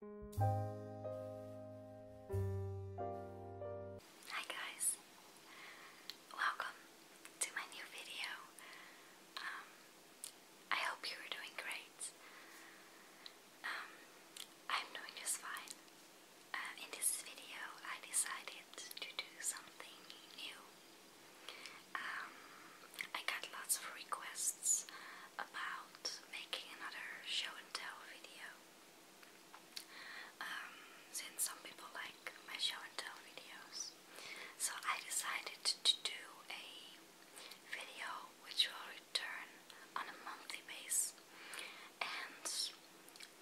Hi guys, welcome to my new video. Um, I hope you are doing great. Um, I'm doing just fine. Uh, in this video, I decided to do something new. Um, I got lots of requests about making another show and tell video. Um, since some people like my show and tell videos, so I decided to do a video which will return on a monthly base, and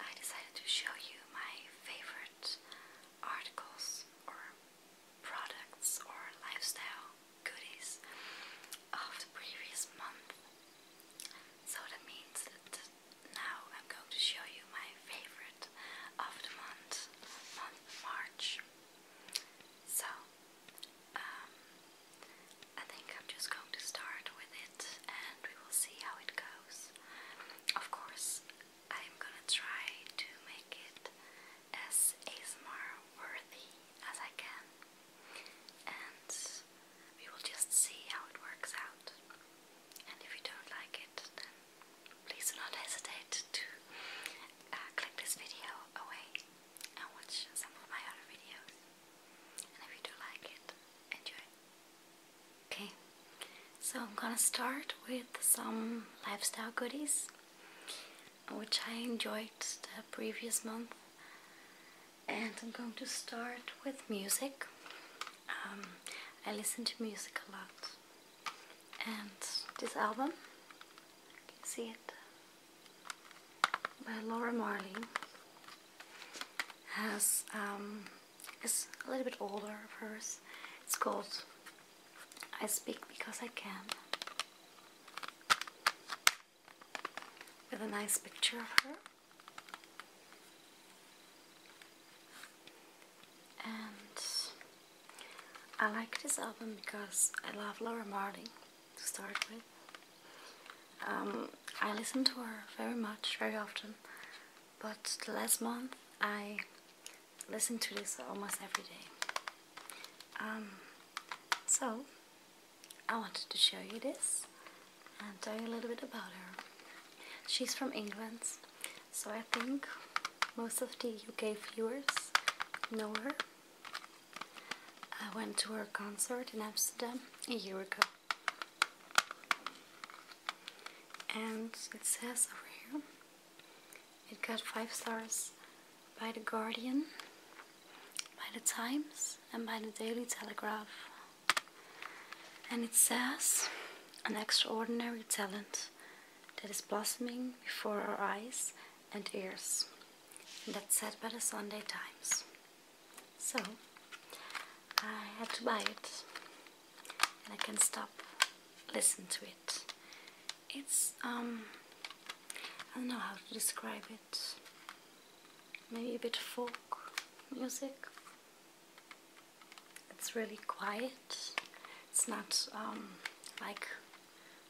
I decided to show you my favorite articles or products or lifestyle goodies of the previous month. So that means that now I'm going to show you my favorite of the month, month March. So, um, I think I'm just going to start with it and we will see how it goes. Of course, I'm gonna try to make it as ASMR worthy as I can and we will just see how it works out. And if you don't like it, then please do not hesitate to uh, click this video away and watch some of my other videos. And if you do like it, enjoy. Okay, so I'm gonna start with some lifestyle goodies which I enjoyed the previous month and I'm going to start with music. Um, I listen to music a lot and this album, you can see it, by Laura Marley has, um, is a little bit older of hers. It's called I Speak Because I Can with a nice picture of her. And I like this album because I love Laura Marling to start with. Um, I listen to her very much, very often, but the last month I listen to this almost every day. Um, so, I wanted to show you this and tell you a little bit about her. She's from England, so I think most of the UK viewers know her. I went to her concert in Amsterdam a year ago. And it says over here, it got 5 stars by The Guardian, by The Times, and by The Daily Telegraph. And it says, an extraordinary talent that is blossoming before our eyes and ears. And that's said by the Sunday Times. So, I had to buy it. And I can stop, listen to it. It's, um... I don't know how to describe it. Maybe a bit folk music. It's really quiet. It's not um, like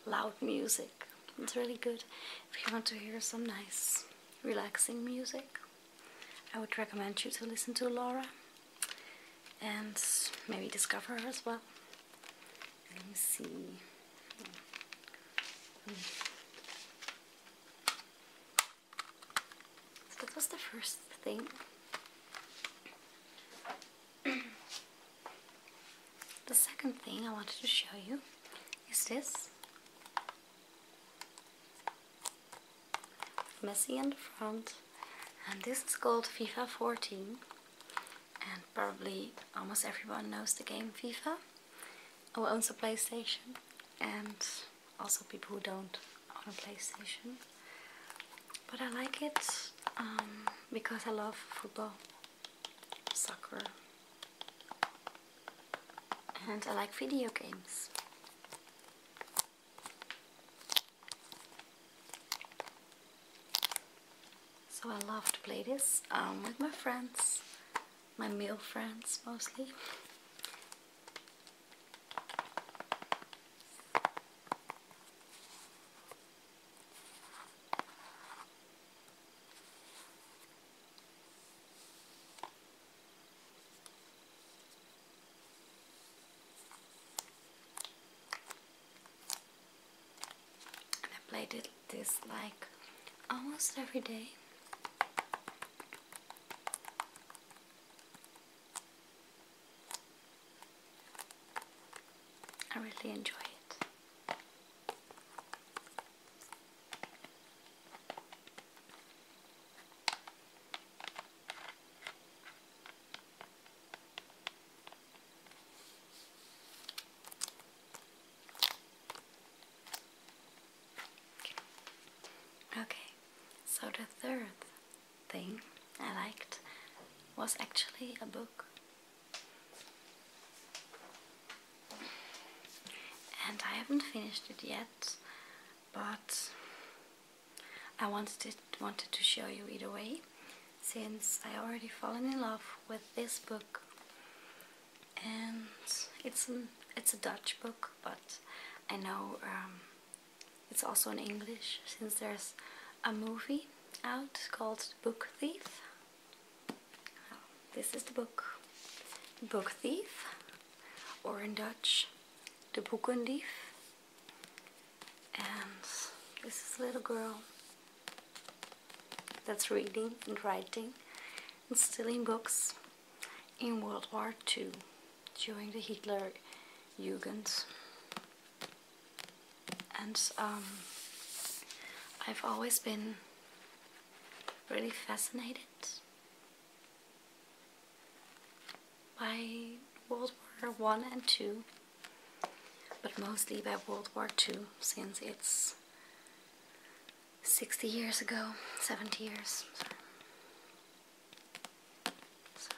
loud music. It's really good if you want to hear some nice, relaxing music. I would recommend you to listen to Laura and maybe discover her as well. Let me see. So hmm. that was the first thing. the second thing I wanted to show you is this. messy in the front and this is called FIFA 14 and probably almost everyone knows the game FIFA who owns a PlayStation and also people who don't own a PlayStation but I like it um, because I love football, soccer and I like video games so I love to play this um, with my friends, my male friends mostly and I played this like almost every day. I really enjoy it. Okay, so the third thing I liked was actually a book. And I haven't finished it yet, but I wanted, wanted to show you either way since I already fallen in love with this book and it's it's a Dutch book but I know um, it's also in English since there's a movie out called Book Thief this is the book Book Thief or in Dutch De Boekendief and this is a little girl that's reading and writing and stealing books in World War II during the Hitler Jugend. And um, I've always been really fascinated by World War One and Two but mostly by World War II since it's 60 years ago, 70 years. Sorry.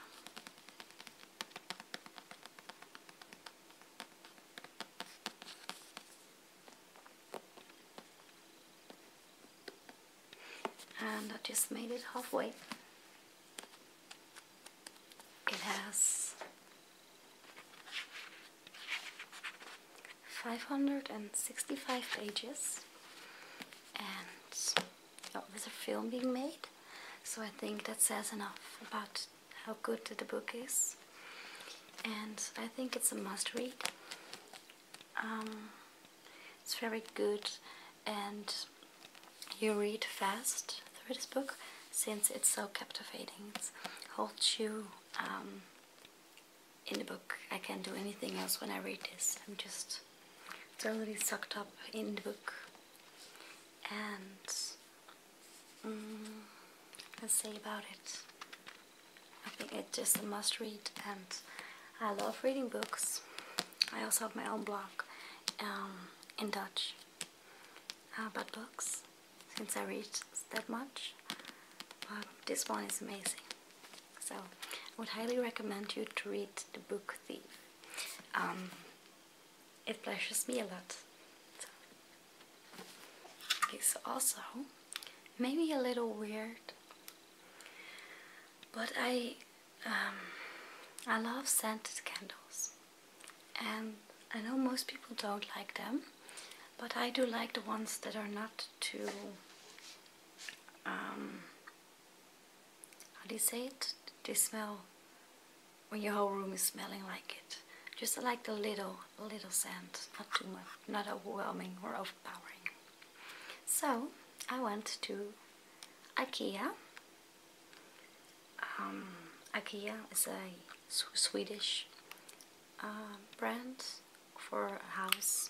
And I just made it halfway. It has 565 pages and oh, there's a film being made so I think that says enough about how good the book is and I think it's a must read um, it's very good and you read fast through this book since it's so captivating. It holds you um, in the book. I can't do anything else when I read this. I'm just totally sucked up in the book. And mm, let's say about it. I think it's just a must read and I love reading books. I also have my own blog um, in Dutch about uh, books since I read that much. But this one is amazing. So I would highly recommend you to read the book The um, it pleases me a lot. Okay, so also, maybe a little weird, but I um, I love scented candles and I know most people don't like them but I do like the ones that are not too um, how do you say it? They smell when your whole room is smelling like it. Just like the little little scent, not too much, not overwhelming or overpowering. So I went to IKEA um, IKEA is a Swedish uh, brand for house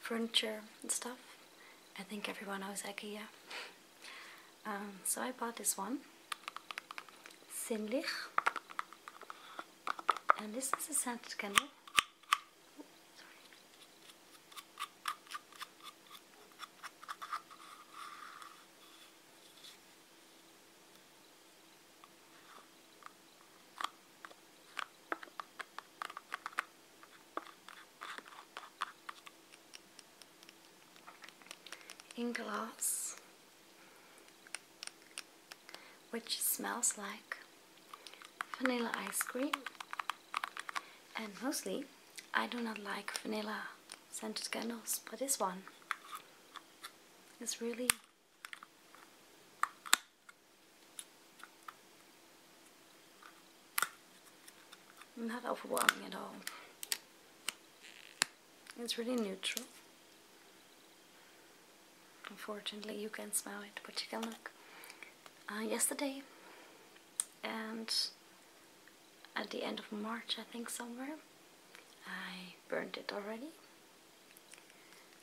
furniture and stuff. I think everyone knows IKEA. Um, so I bought this one, Sinlich, and this is a scented in glass which smells like vanilla ice cream and mostly I do not like vanilla scented candles, but this one is really not overwhelming at all. It's really neutral. Unfortunately, you can smell it, but you can look. Uh, yesterday, and at the end of March, I think somewhere. I burned it already.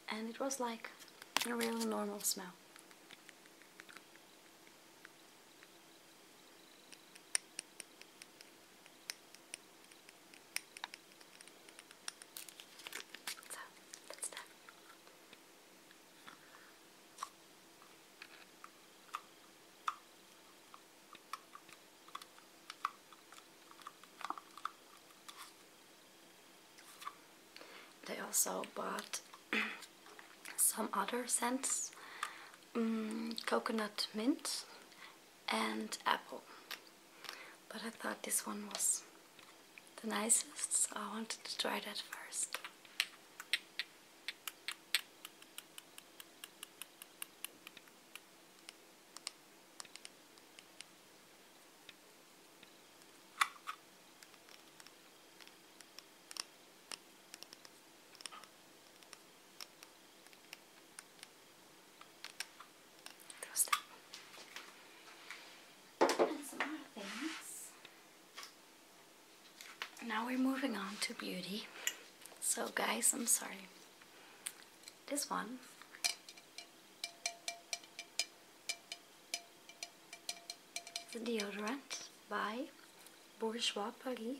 And it was like a real normal smell. They also bought some other scents, mm, coconut mint and apple. But I thought this one was the nicest, so I wanted to try that first. Now we're moving on to beauty. So guys, I'm sorry. This one the deodorant by Bourgeois Paris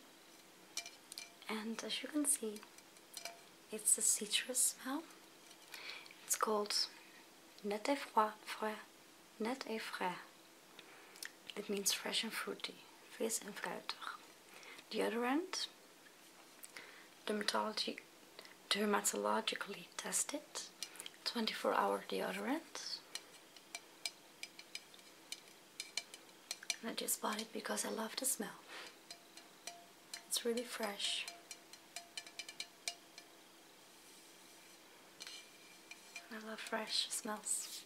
and as you can see it's a citrus smell it's called net et froid, frais, net et frais it means fresh and fruity fris and fruitig deodorant, dermatology, dermatologically tested, 24 hour deodorant. I just bought it because I love the smell. It's really fresh. I love fresh smells.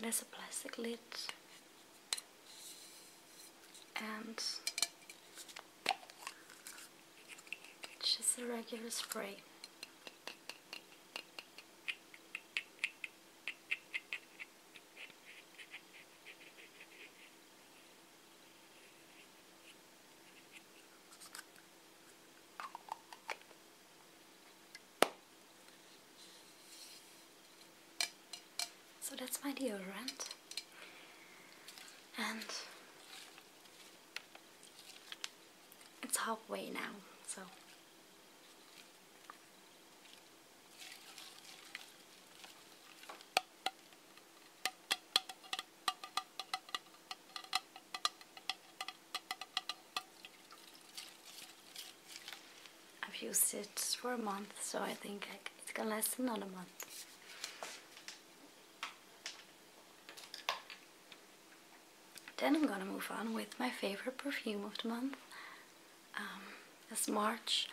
There's a plastic lid and just a regular spray. So that's my dear deodorant, and it's halfway now, so. I've used it for a month, so I think it's gonna last another month. Then I'm gonna move on with my favorite perfume of the month. as um, March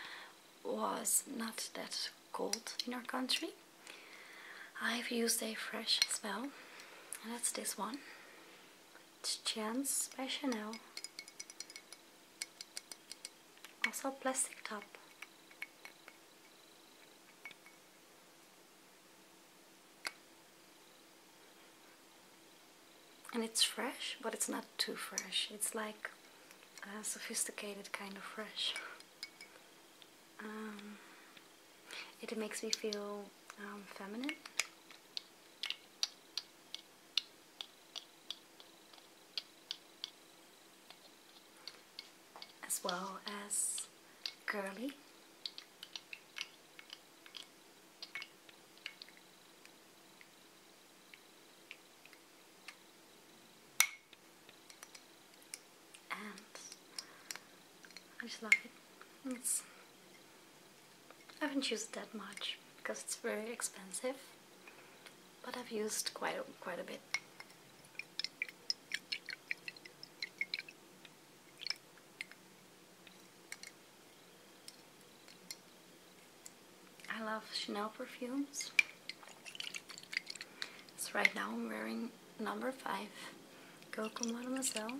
was not that cold in our country, I've used a fresh smell, and that's this one. It's Chance by Chanel. Also plastic top and it's fresh but it's not too fresh it's like a sophisticated kind of fresh um, it makes me feel um, feminine as well as girly and I just love it. I haven't used that much because it's very expensive, but I've used quite quite a bit. I love Chanel perfumes. So right now I'm wearing number 5, Coco Mademoiselle.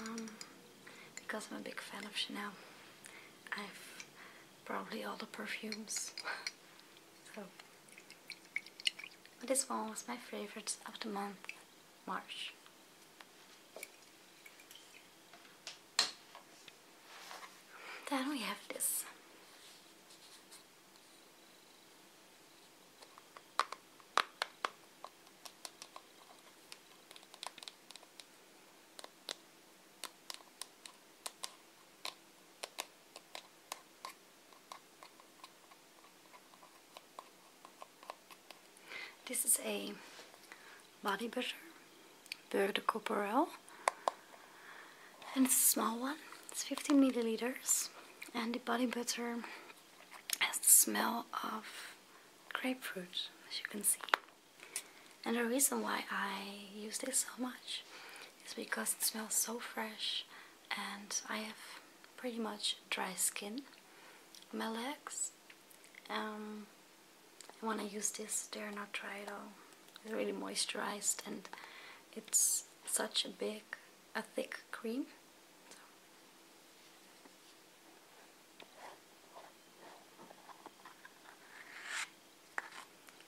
Um, because I'm a big fan of Chanel. I've probably all the perfumes. This one was my favorite of the month, March. Then we have this. This is a body butter, Beurre de Coporel, and it's a small one, it's 15 milliliters, and the body butter has the smell of grapefruit, as you can see. And the reason why I use this so much it's because it smells so fresh and I have pretty much dry skin my legs um, when I use this they're not dry at all it's really moisturized and it's such a big a thick cream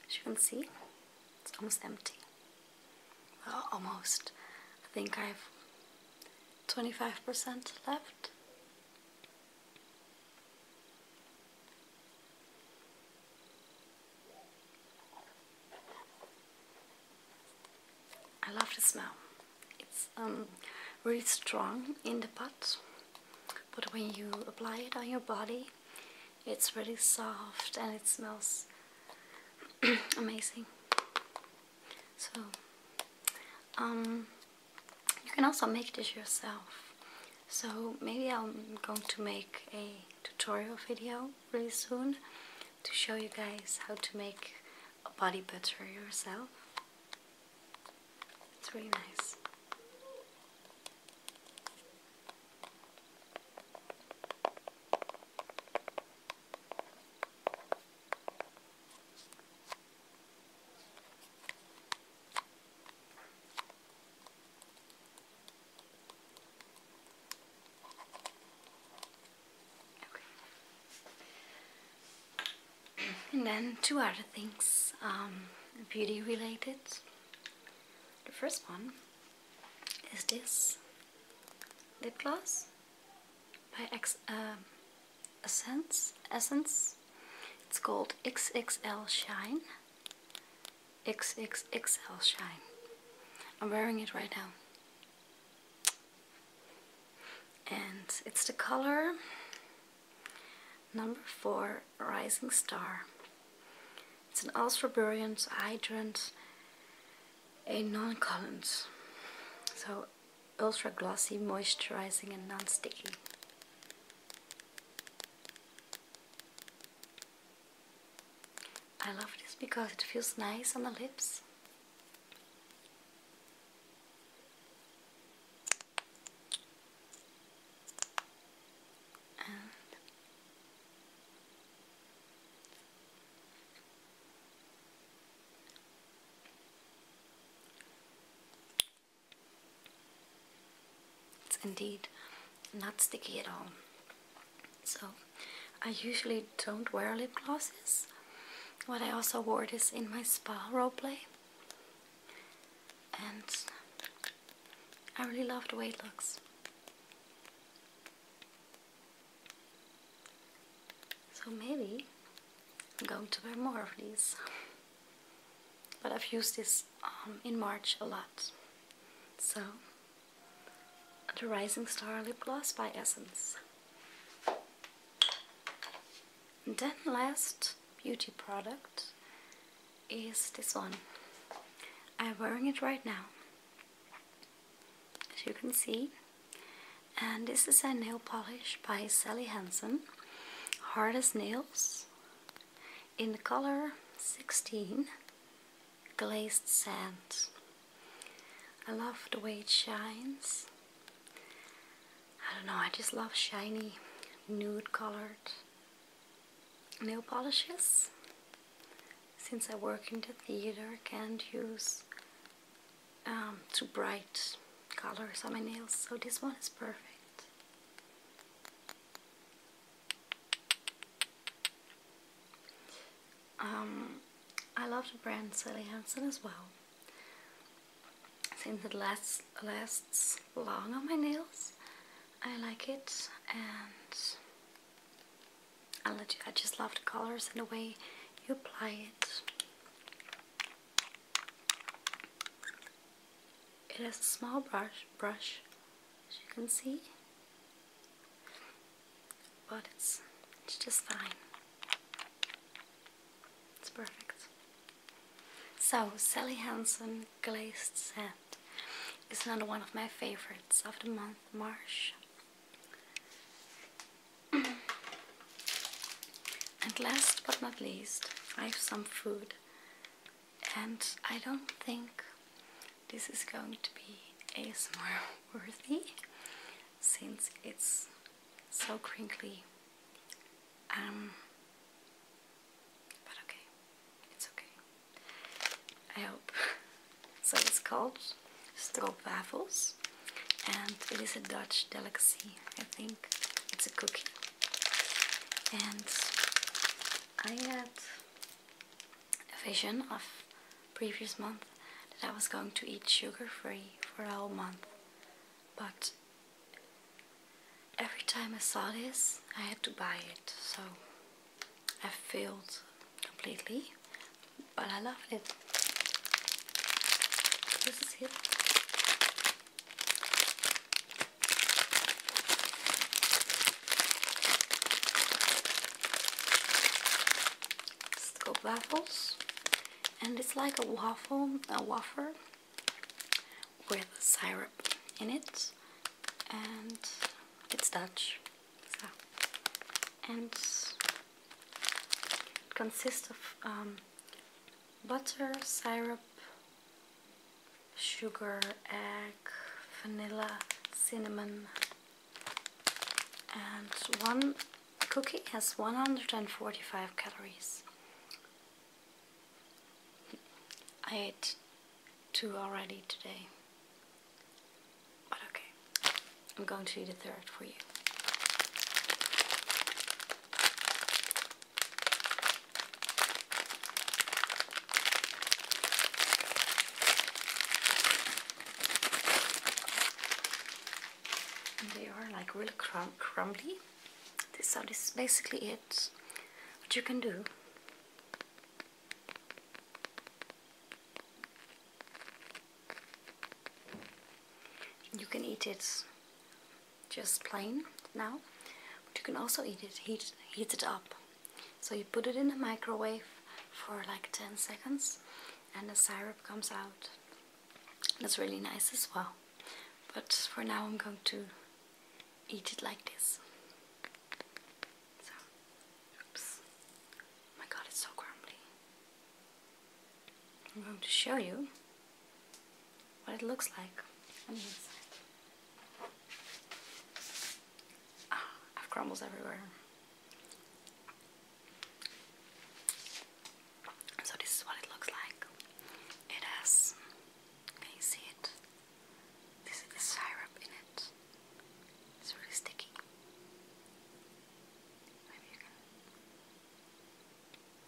as you can see, it's almost empty. almost. I think I've 25% left. I love the smell. It's um, really strong in the pot, but when you apply it on your body, it's really soft and it smells amazing. So, um, you can also make this yourself. So maybe I'm going to make a tutorial video really soon to show you guys how to make a body butter yourself. It's really nice. And then two other things, um, beauty related. The first one is this lip gloss by X, um, Essence. Essence. It's called XXL Shine. XXL Shine. I'm wearing it right now. And it's the color number four rising star. It's an ultra Alstroeburian hydrant, a non-collant. So ultra glossy, moisturizing and non-sticky. I love this because it feels nice on the lips it's indeed not sticky at all. So I usually don't wear lip glosses. What I also wore this in my spa role play and I really love the way it looks. So maybe I'm going to wear more of these. But I've used this um, in March a lot. So, the Rising Star Lip Gloss by Essence. And then last beauty product is this one. I'm wearing it right now as you can see and this is a nail polish by Sally Hansen Hard as Nails in the color 16 Glazed Sand I love the way it shines I don't know I just love shiny nude colored nail polishes. Since I work in the theater, I can't use um, too bright colors on my nails, so this one is perfect. Um, I love the brand Sally Hansen as well. Since it lasts lasts long on my nails. I like it and I, just love the colors and the way you apply it. It has a small brush, brush as you can see, but it's, it's just fine. It's perfect. So, Sally Hansen Glazed Set that is another one of my favorites of the month, Marsh. and last but not least, I have some food. And I don't think this is going to be ASMR worthy since it's so crinkly. Um, but okay, it's okay. I hope. So it's called stroopwafels, and it is a Dutch delicacy. I think it's a cookie, and I had a vision of previous month that I was going to eat sugar-free for a whole month, but every time I saw this, I had to buy it. So I failed completely, but I love it. This is it. Scoop waffles, and it's like a waffle, a wafer with syrup in it and it's Dutch so. and it consists of um, butter, syrup, sugar, egg, vanilla, cinnamon and one cookie has 145 calories I ate two already today. But okay, I'm going to eat a third for you. they are like really crumbly so this is basically it what you can do you can eat it just plain now but you can also eat it heat, heat it up so you put it in the microwave for like 10 seconds and the syrup comes out that's really nice as well but for now I'm going to eat it like this. oops. my god, it's so crumbly. I'm going to show you what it looks like Ah, I have crumbles everywhere. So this is what it looks like. It has, you see it? This is the syrup in it. It's really sticky.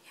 Yeah.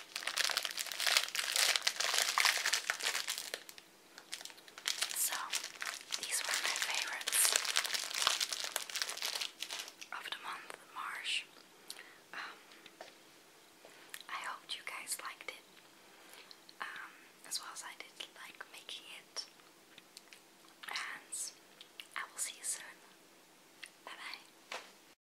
So, these were my favorites of the month, March. Um, I hoped you guys liked it, um, as well as I did like making it. And I will see you soon. Bye bye.